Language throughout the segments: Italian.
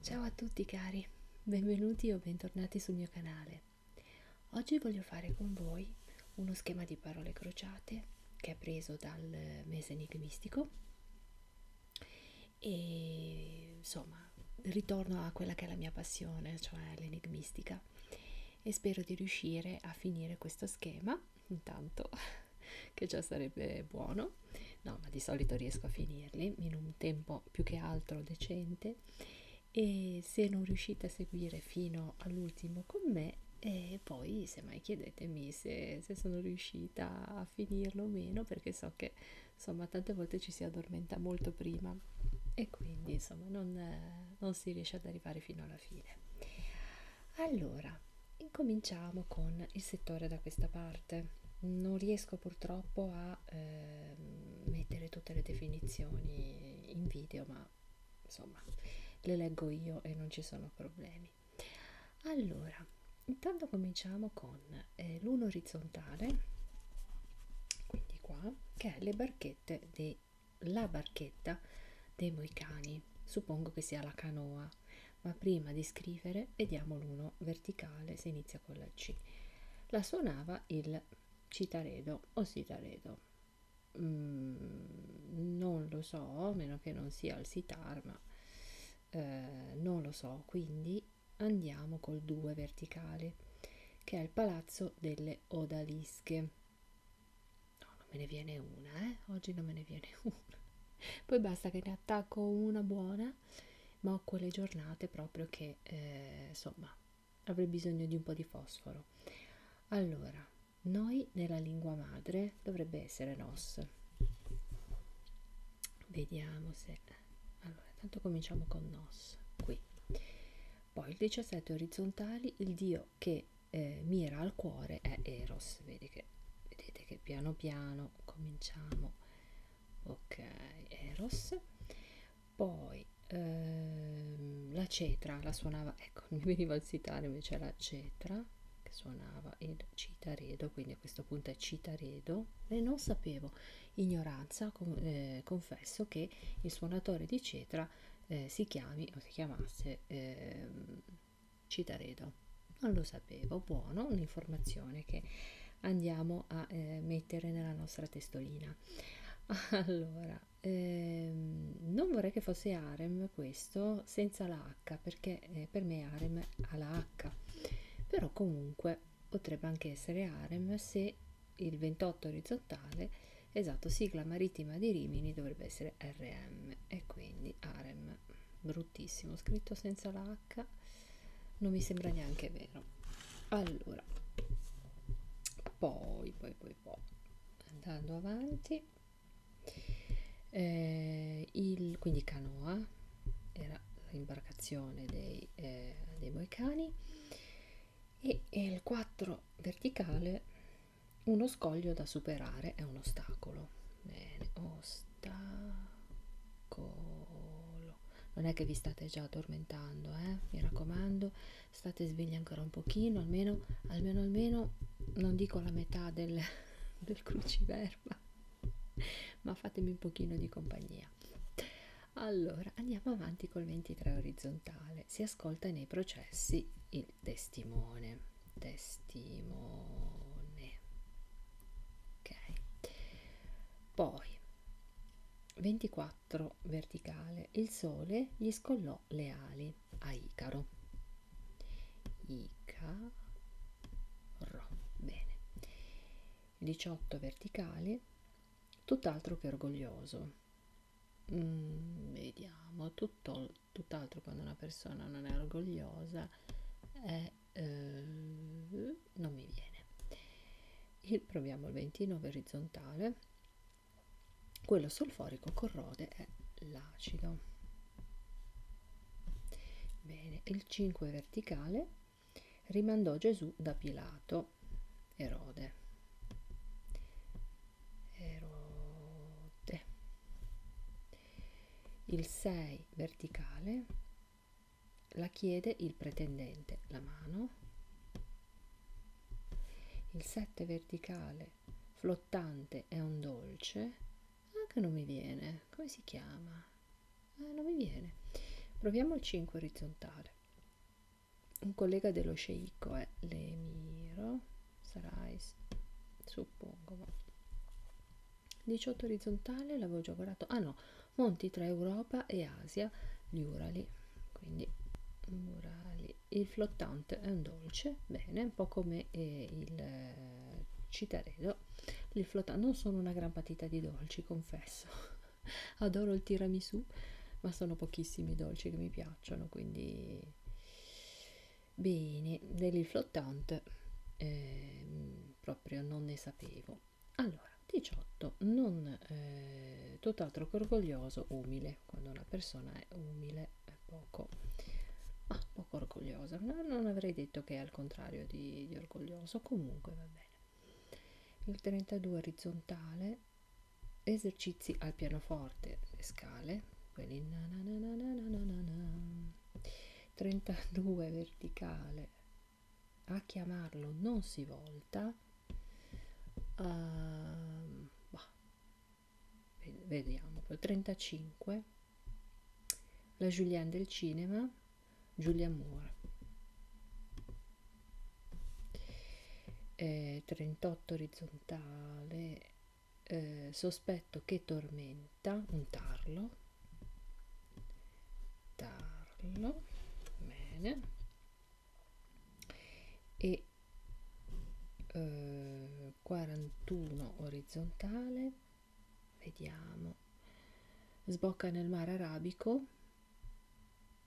Ciao a tutti cari, benvenuti o bentornati sul mio canale. Oggi voglio fare con voi uno schema di parole crociate che è preso dal mese enigmistico e insomma ritorno a quella che è la mia passione, cioè l'enigmistica e spero di riuscire a finire questo schema intanto che già sarebbe buono no ma di solito riesco a finirli in un tempo più che altro decente e se non riuscite a seguire fino all'ultimo con me e poi semmai chiedetemi se, se sono riuscita a finirlo o meno perché so che insomma tante volte ci si addormenta molto prima e quindi insomma non, non si riesce ad arrivare fino alla alla fine allora incominciamo con il settore da questa parte non riesco purtroppo a eh, mettere tutte le definizioni in video ma insomma le leggo io e non ci sono problemi allora intanto cominciamo con eh, l'uno orizzontale quindi qua che è le barchette dei la barchetta dei moicani, suppongo che sia la canoa, ma prima di scrivere vediamo l'uno verticale, si inizia con la C. La suonava il citaredo o sitaredo. Mm, non lo so, a meno che non sia il sitar, ma eh, non lo so, quindi andiamo col 2 verticale, che è il palazzo delle odalische no non me ne viene una eh oggi non me ne viene una poi basta che ne attacco una buona ma ho quelle giornate proprio che eh, insomma avrei bisogno di un po' di fosforo allora noi nella lingua madre dovrebbe essere nos vediamo se allora tanto cominciamo con nos qui poi il 17 orizzontali il dio quello che eh, mira al cuore è Eros, Vedi che, vedete che piano piano cominciamo, ok, Eros, poi ehm, la cetra, la suonava, ecco, mi veniva il sitare invece la cetra, che suonava il citaredo, quindi a questo punto è citaredo, e non sapevo, ignoranza, con, eh, confesso che il suonatore di cetra eh, si chiami o si chiamasse eh, Citaredo. Non lo sapevo, buono, un'informazione che andiamo a eh, mettere nella nostra testolina. Allora, ehm, non vorrei che fosse harem questo senza la H, perché eh, per me harem ha la H, però comunque potrebbe anche essere harem se il 28 orizzontale, esatto, sigla marittima di Rimini dovrebbe essere RM e quindi AREM, bruttissimo, scritto senza la H, non mi sembra neanche vero. Allora, poi, poi, poi, poi, andando avanti, eh, il, quindi canoa era l'imbarcazione dei, eh, dei moicani e, e il 4 verticale uno scoglio da superare è un ostacolo bene ostacolo non è che vi state già addormentando eh? mi raccomando state svegli ancora un pochino almeno almeno almeno non dico la metà del, del cruciverba ma fatemi un pochino di compagnia allora, andiamo avanti col 23 orizzontale. Si ascolta nei processi il testimone. Testimone. Ok. Poi, 24 verticale. Il sole gli scollò le ali a Icaro. Icaro. Bene. 18 verticale. Tutt'altro che orgoglioso mm, vediamo, tutto, tutt'altro quando una persona non è orgogliosa è, eh, non mi viene. Il, proviamo il 29 orizzontale, quello solforico corrode è l'acido. Bene, il 5 verticale rimandò Gesù da Pilato Erode. Erode. Il 6 verticale la chiede il pretendente, la mano. Il 7 verticale flottante è un dolce. Anche ah, non mi viene. Come si chiama? Eh, non mi viene. Proviamo il 5 orizzontale un collega dello sceicco è eh. l'emiro, sarai, suppongo. Ma. 18 orizzontale, l'avevo già guardato. Ah no, monti tra Europa e Asia, gli Urali. Quindi Urali. Il flottante è un dolce, bene, un po' come eh, il eh, citaredo. Il flottante non sono una gran patita di dolci, confesso adoro il tiramisù, ma sono pochissimi i dolci che mi piacciono, quindi bene, del flottante eh, proprio non ne sapevo. Allora, 18, non eh, tutt'altro che orgoglioso, umile, quando una persona è umile è poco ah, poco orgogliosa, no, non avrei detto che è al contrario di, di orgoglioso, comunque va bene il 32 orizzontale esercizi al pianoforte le scale quelli na na na na na na na 32 verticale a chiamarlo non si volta uh, ehm, bah, vediamo poi 35 la Julianne del cinema Giulia Moore eh, 38 orizzontale eh, sospetto che tormenta un tarlo tarlo bene e eh, 41 orizzontale vediamo sbocca nel mare arabico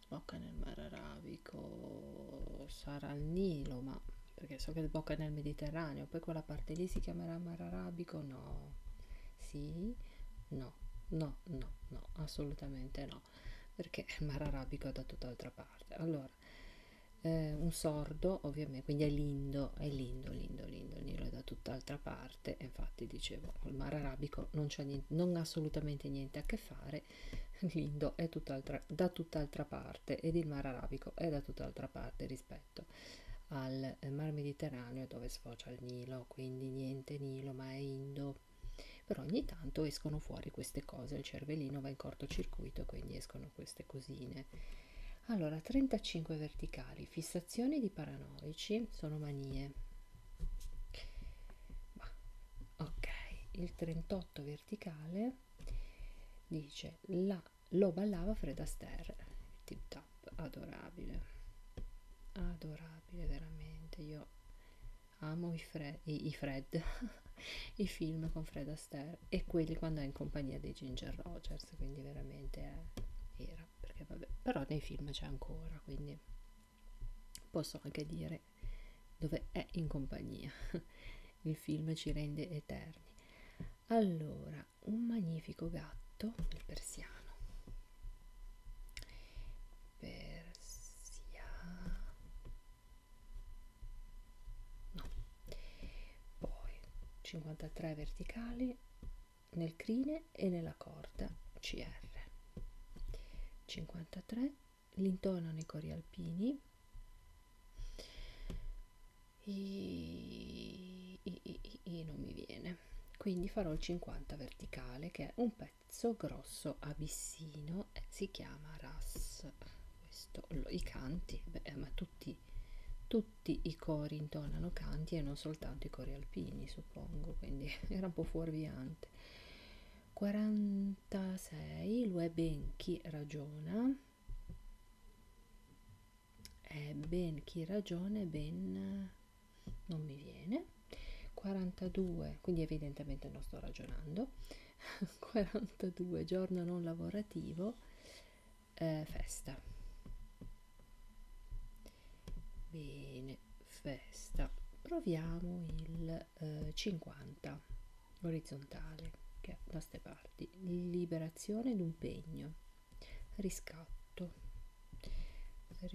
Sbocca nel mare Arabico, sarà il Nilo, ma perché so che sbocca nel Mediterraneo, poi quella parte lì si chiamerà mare Arabico? No, sì, no, no, no, no, assolutamente no, perché il mare Arabico è da tutt'altra parte. Allora, eh, un sordo, ovviamente, quindi è lindo, è lindo, lindo, lindo, il Nilo è da tutt'altra parte, infatti dicevo, il mare Arabico non c'ha niente, non ha assolutamente niente a che fare mare l'Indo è tutt'altra, da tutt'altra parte ed il mare arabico è da tutt'altra parte rispetto al eh, mar Mediterraneo dove sfocia il Nilo, quindi niente Nilo ma è Indo. Però ogni tanto escono fuori queste cose, il cervellino va in cortocircuito, quindi escono queste cosine. Allora, 35 verticali, fissazioni di paranoici sono manie, ma, ok il 38 verticale dice la lo ballava Fred Astaire tip tap adorabile adorabile veramente io amo i Fred i, i, Fred, i film con Fred Astaire e quelli quando è in compagnia dei Ginger Rogers quindi veramente è, era perché vabbè però nei film c'è ancora quindi Posso anche dire dove è in compagnia. Il film ci rende eterni. Allora, un magnifico gatto, il persiano. Persia. No. Poi 53 verticali nel crine e nella corda CR. 53 l'intono nei cori alpini. I, i, i, i, non mi viene quindi farò il 50 verticale che è un pezzo grosso abissino eh, si chiama ras questo lo, i canti beh, ma tutti tutti i cori intonano canti e non soltanto i cori alpini suppongo quindi era un po' fuorviante 46 lo è ben chi ragiona è ben chi ragiona e ben non mi viene 42 quindi evidentemente non sto ragionando 42 giorno non lavorativo eh, festa bene festa proviamo il eh, 50 orizzontale che è da ste parti liberazione ed un pegno riscatto riscatto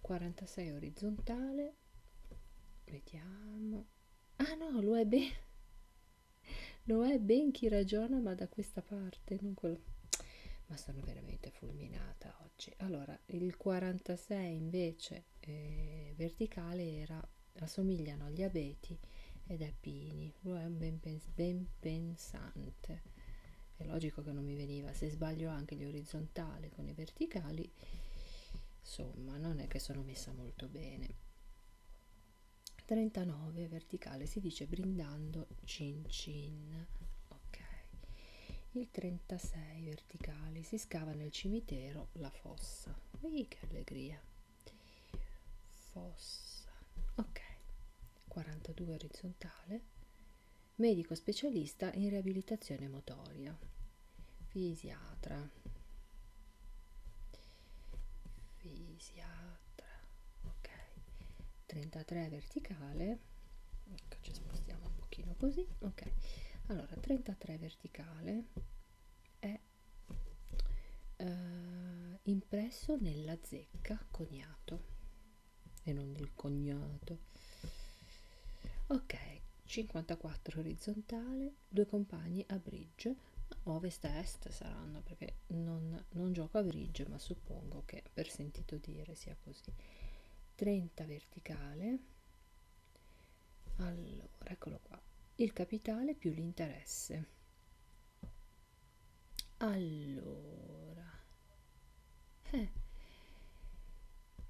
46 orizzontale vediamo ah no lo è bene non è ben chi ragiona, ma da questa parte, non quello. Ma sono veramente fulminata oggi. Allora, il 46 invece eh, verticale era, assomigliano agli abeti ed appini. Lo è un ben, pens ben pensante. È logico che non mi veniva. Se sbaglio anche gli orizzontali con i verticali, insomma, non è che sono messa molto bene. 39 verticale si dice brindando cin cin ok il 36 verticale si scava nel cimitero la fossa Ehi, che allegria fossa ok 42 orizzontale medico specialista in riabilitazione motoria fisiatra fisiatra ok 33 verticale ecco, ci spostiamo un pochino così ok allora 33 verticale è eh, impresso nella zecca cognato e non del cognato ok 54 orizzontale due compagni a bridge ovest a est saranno perché non, non gioco a grigio ma suppongo che per sentito dire sia così 30 verticale allora eccolo qua il capitale più l'interesse allora eh,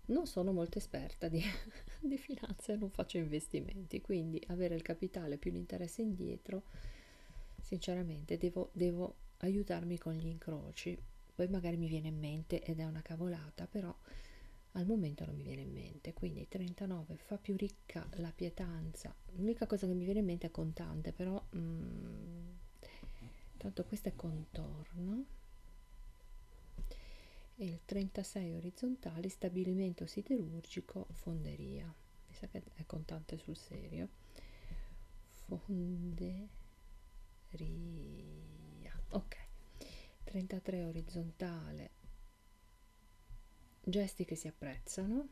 non sono molto esperta di, di finanza e non faccio investimenti quindi avere il capitale più l'interesse indietro sinceramente devo, devo aiutarmi con gli incroci, poi magari mi viene in mente ed è una cavolata, però al momento non mi viene in mente, quindi 39 fa più ricca la pietanza, l'unica cosa che mi viene in mente è contante, però mh, mm, tanto questo è contorno. E il 36 orizzontale, stabilimento siderurgico, fonderia mi sa che è contante sul serio fonderia ok 33 orizzontale gesti che si apprezzano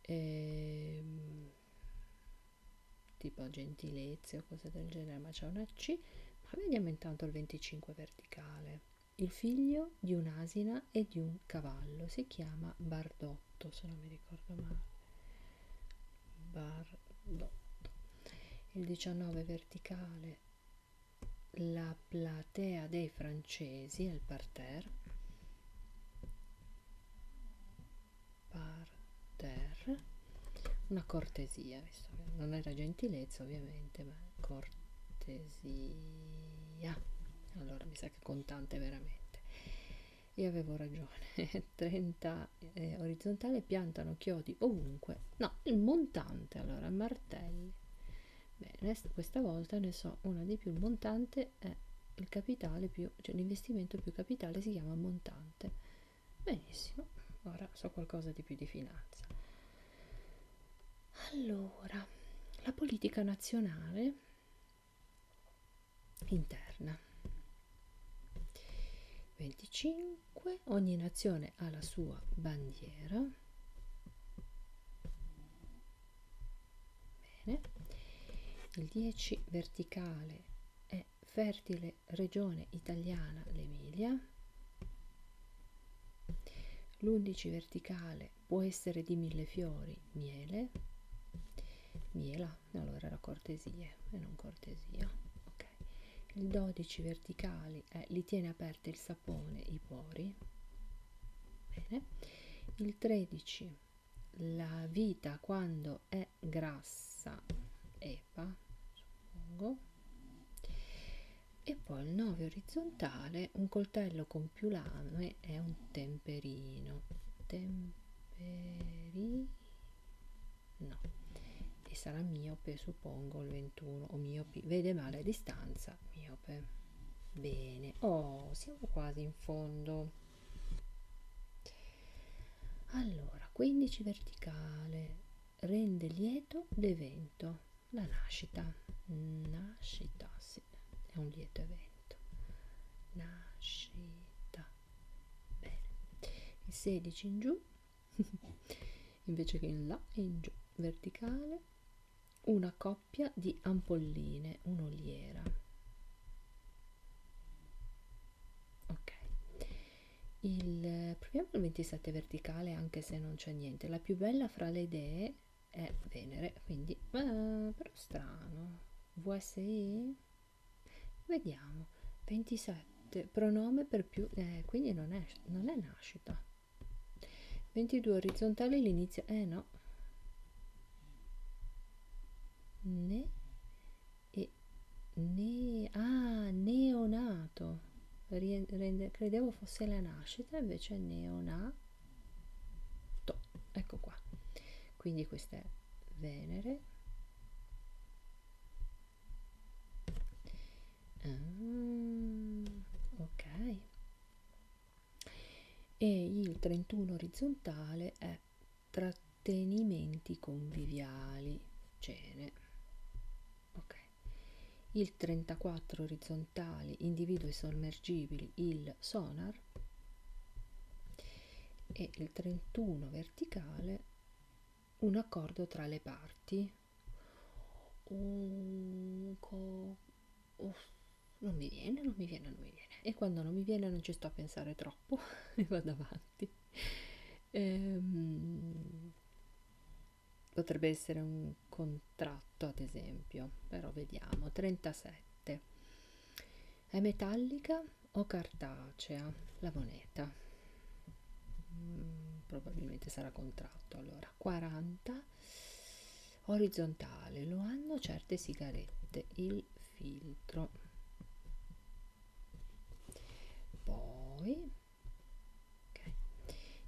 ehm, tipo gentilezze o cose del genere ma c'è una C ma vediamo intanto il 25 verticale il figlio di un'asina e di un cavallo. Si chiama Bardotto, se non mi ricordo male. Bardotto. Il 19 verticale, la platea dei francesi al parterre. Parterre. Una cortesia, visto che non era gentilezza ovviamente, ma cortesia via allora mi sa che contante veramente io avevo ragione 30 eh, orizzontale piantano chiodi ovunque no il montante allora martelli bene questa volta ne so una di più il montante è il capitale più cioè l'investimento più capitale si chiama montante benissimo ora so qualcosa di più di finanza allora, la politica nazionale interna. 25. Ogni nazione ha la sua bandiera. Bene. Il 10 verticale è fertile regione italiana l'Emilia. L'11 verticale può essere di mille fiori, miele, miela, allora era cortesie e non cortesia, ok. Il 12 verticali eh, li tiene aperti il sapone, i pori, bene. Il 13 la vita quando è grassa, epa, suppongo e poi il 9 orizzontale un coltello con più lame è un temperino temperino no e sarà miope suppongo il 21 o miope vede male a distanza miope bene oh siamo quasi in fondo allora 15 verticale rende lieto d'evento la nascita, nascita, sì, è un lieto evento, nascita, bene, il 16 in giù, invece che in là e in giù, verticale, una coppia di ampolline, un'oliera, ok, il, proviamo il 27 verticale anche se non c'è niente, la più bella fra le idee è Venere, quindi... Ah, però strano. VSI? Vediamo. 27. Pronome per più... Eh, quindi non è, non è nascita. 22 orizzontale l'inizio... Eh no. Ne... E... Ne... Ah, neonato. Rende, credevo fosse la nascita, invece neonato to, ecco qua quindi questa è Venere ah, ok e il 31 orizzontale è trattenimenti conviviali cene ok il 34 orizzontale individui sommergibili, il sonar, e il 31 verticale un accordo tra le parti. Un co- oh, non mi viene, non mi viene, non mi viene. E quando non mi viene non ci sto a pensare troppo e vado avanti. Ehm, potrebbe essere un contratto ad esempio, però vediamo, 37. È metallica o cartacea la moneta? Mm, probabilmente sarà contratto allora. 40. Orizzontale, lo hanno certe sigarette, il filtro. Poi Okay.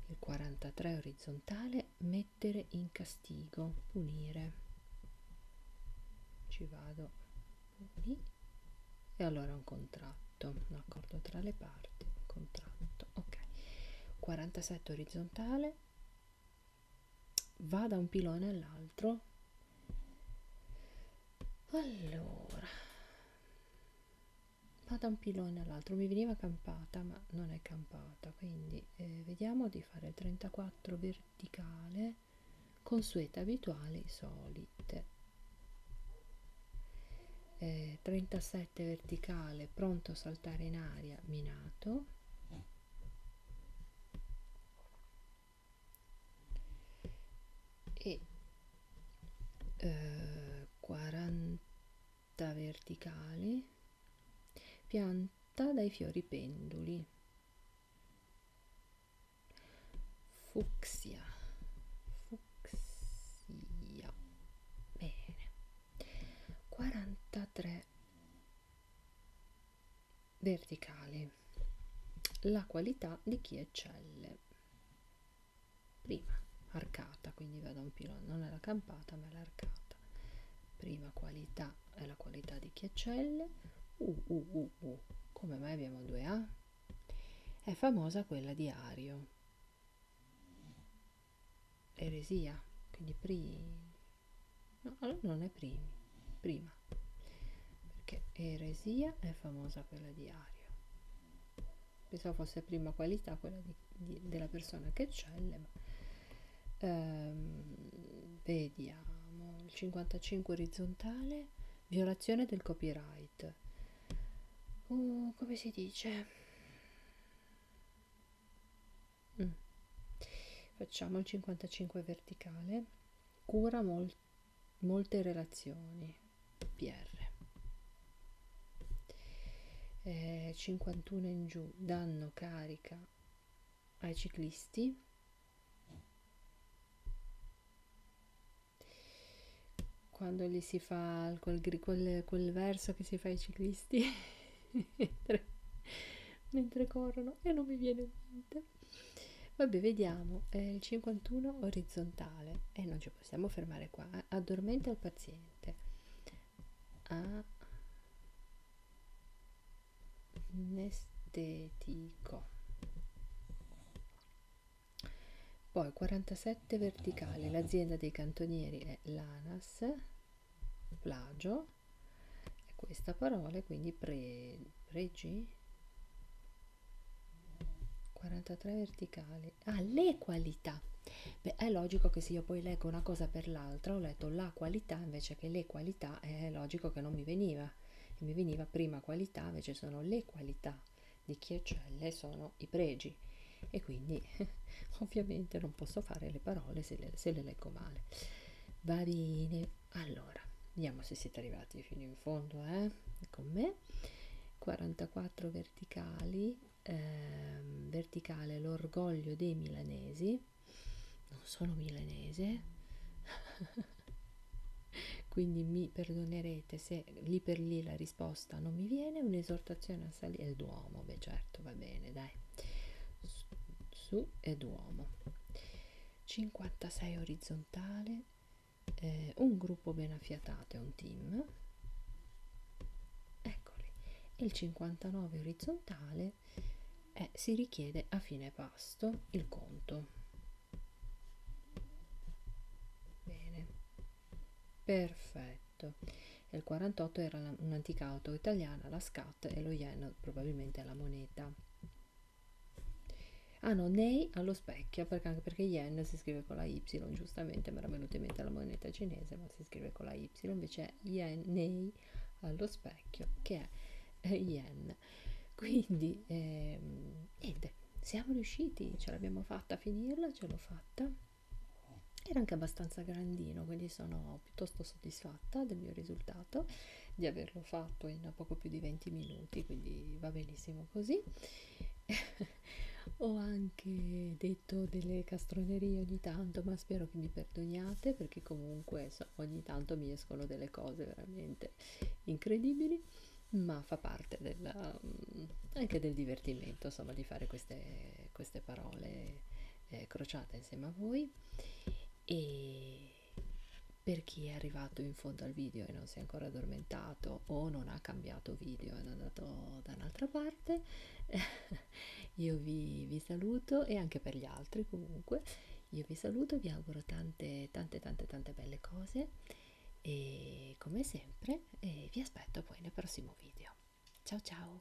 Il 43 orizzontale, mettere in castigo, punire. Ci vado, puni. E allora un contratto, un accordo tra le parti, un contratto. Ok. 47 orizzontale, va da un pilone all'altro. Allora, ma da un pilone all'altro mi veniva campata ma non è campata quindi eh, vediamo di fare 34 verticale consuete abituali solite eh, 37 verticale pronto a saltare in aria minato e eh, 40 pianta verticale, pianta dai fiori penduli, fucsia, fucsia, bene, 43 verticale, la qualità di chi eccelle prima arcata, quindi vado a un pilone, non è la campata ma è l'arcata. Prima qualità è la qualità di chiaccelle. Uh, uh, uh, uh. Come mai abbiamo due A? È famosa quella di Ario. Eresia, quindi prima. No, allora non è primi, prima. Perché eresia è famosa quella di Ario pensavo fosse prima qualità quella di, di, della persona che eccelle ma ehm, vediamo il 55 orizzontale violazione del copyright uh, come si dice mm. facciamo il 55 verticale cura mol- molte relazioni PR eh, 51 in giù danno carica ai ciclisti quando gli si fa quel, quel, quel verso che si fa ai ciclisti mentre, mentre, corrono e non mi viene niente vabbè vediamo eh, il 51 orizzontale e eh, non ci possiamo fermare qua eh. addormenta il paziente niente anestetico poi 47 verticale l'azienda dei cantonieri è l'ANAS plagio è questa parola quindi pre, pregi 43 verticali quali, ah, le qualità. Beh, è logico che se io poi leggo una cosa per l'altra, ho letto la qualità invece che le qualità, è logico che non mi veniva. E mi veniva prima qualità, invece sono le qualità di chi eccelle, sono i pregi. E quindi ovviamente non posso fare le parole se le, se le leggo male. Va bene, allora, vediamo se siete arrivati fino in fondo, eh? Con me. 44 verticali eh, verticale l'orgoglio dei milanesi, non sono milanese, quindi mi perdonerete se lì per lì la risposta non mi viene, un'esortazione a salire, il Duomo, beh certo, va bene, dai, su, su e Duomo, 56 orizzontale, eh, un gruppo ben affiatato e un team, eccoli il 59 orizzontale e eh, si richiede a fine pasto il conto bene perfetto e il 48 era la, un'antica auto italiana la scat e lo yen probabilmente la moneta ah no nei allo specchio perché anche perché yen si scrive scrive con la Y, giustamente mi era venuta in mente la moneta cinese, ma si scrive con la Y, invece è Yen allo specchio, che è eh, Yen. Quindi, ehm, niente, siamo riusciti, ce l'abbiamo fatta a finirla, ce l'ho fatta. Era anche abbastanza grandino, quindi sono piuttosto soddisfatta del mio risultato di averlo fatto in poco più di 20 minuti, quindi va benissimo così. Ho anche dei detto delle castronerie ogni tanto, ma spero che mi perdoniate perché comunque so, ogni tanto mi escono delle cose veramente incredibili, ma fa parte della, mm, anche del divertimento, insomma, di fare queste, queste parole eh, crociate insieme a voi. E per chi è arrivato in fondo al video e non si è ancora addormentato o non ha cambiato video ed è andato sono dall'altra parte io vi, vi saluto e anche per gli altri comunque io vi saluto vi auguro tante tante tante tante belle cose e come sempre eh, vi aspetto poi nel prossimo video ciao ciao